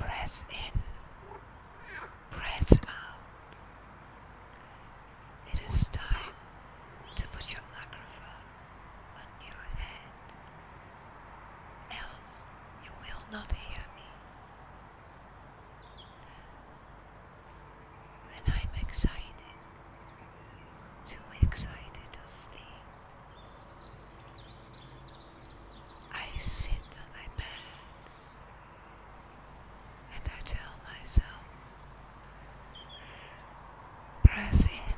Press in, press out. It is time to put your microphone on your head, else you will not hear me. When I'm excited, too excited to sleep, I sit on my bed and I tell myself, press in.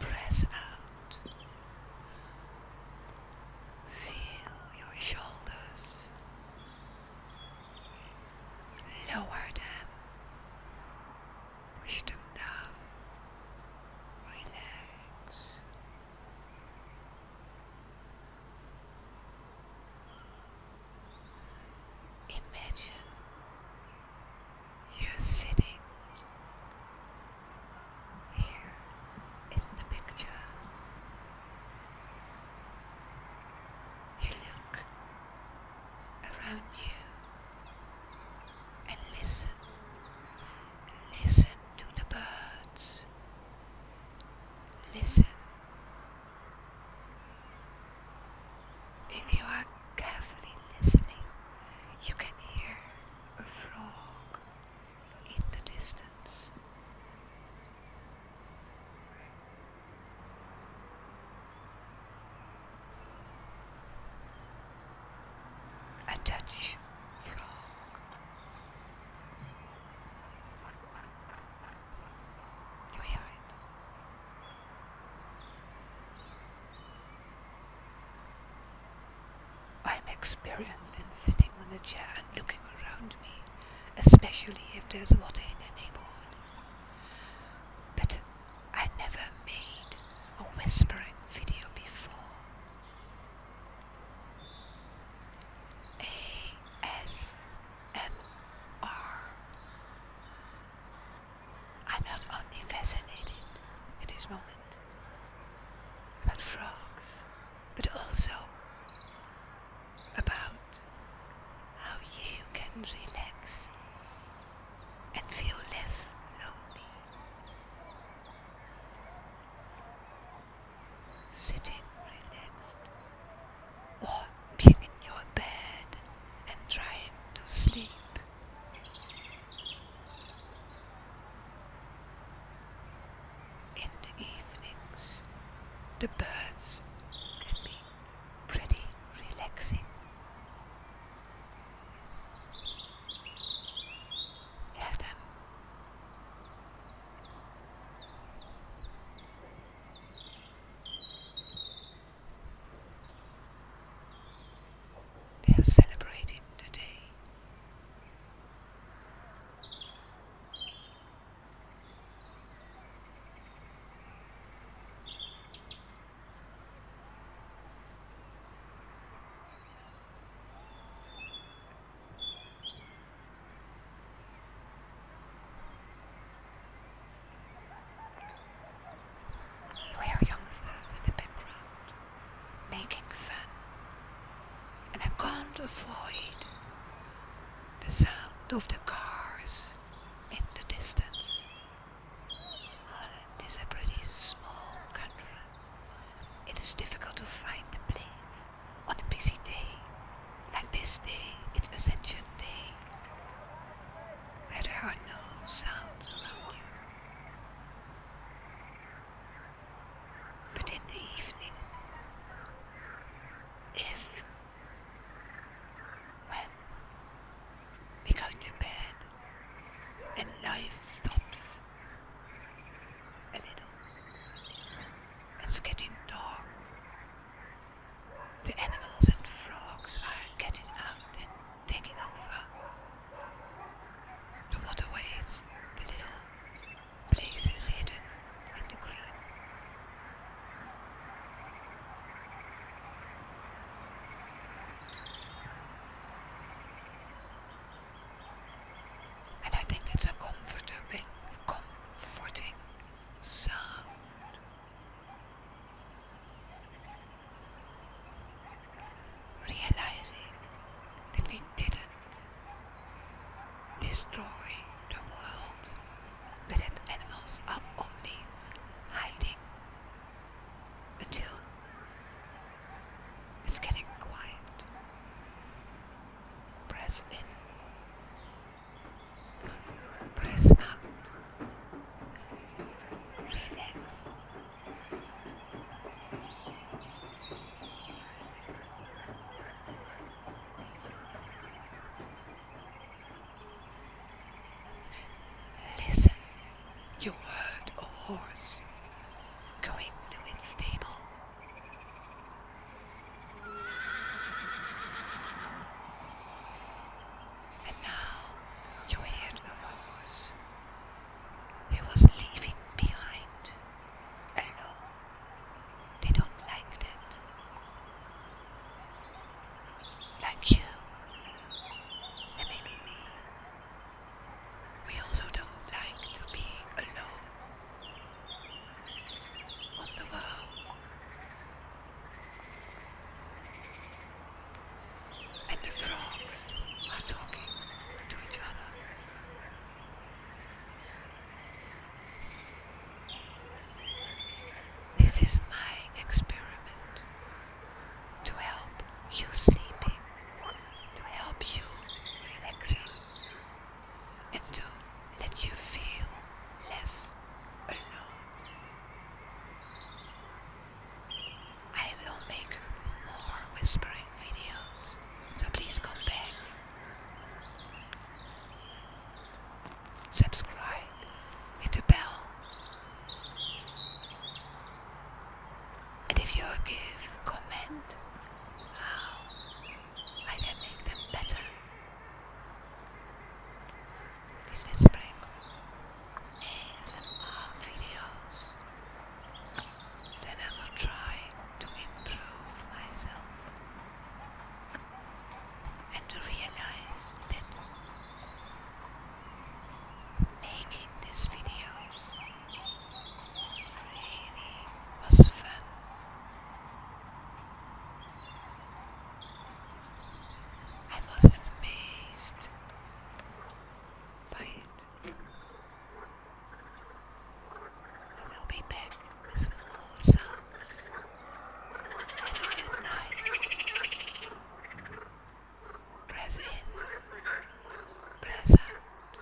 Press out. Feel your shoulders. Lower them. Push them down. Relax. Imagine you're sitting here in the picture. You look around you and listen. Listen to the birds. Listen if you are carefully listening, you can hear a frog in the distance. A Dutch frog. You hear it? I'm experienced in sitting on a chair and looking around me, especially if there's water in the neighborhood. But I never made a whispering video before. ASMR I'm not only fascinated at this moment about frogs, but also about how you can relax and feel less lonely sitting relaxed or jumping in your bed and trying to sleep. In the evenings, the birds can be pretty relaxing. Have they are celebrating today. We're youngsters in the background, making fun, and I can't avoid the sound of the cars in the distance. It is a pretty small country. It is difficult to find a place on a busy day like this day, it's Ascension Day. where there are no sounds But in the evening, if, when we go to bed and life stops a little, it's getting dark. The animals and frogs are getting out and taking over. The waterways, the little places hidden in the green. And I think it's a comforting, comforting sound realizing that we didn't destroy the world, but that animals are only hiding until it's getting quiet. Press in Press up. Listen, you heard a horse going to its stable. And now you hear the rumors he was leaving behind. I they don't like that. Like you, and me. We also don't like to be alone and the frogs are talking to each other. This is my experiment to help you sleeping, to help you relaxing, and to let you feel less alone. I will make more whispering videos, so please come back. Subscribe, hit the bell, and if you give, comment. How I can make them better is with spring ASMR videos I will try to improve myself and to realize that making this video was fun I was amazed by it. I will be back with more sound. Have a good night. Press in. Press out.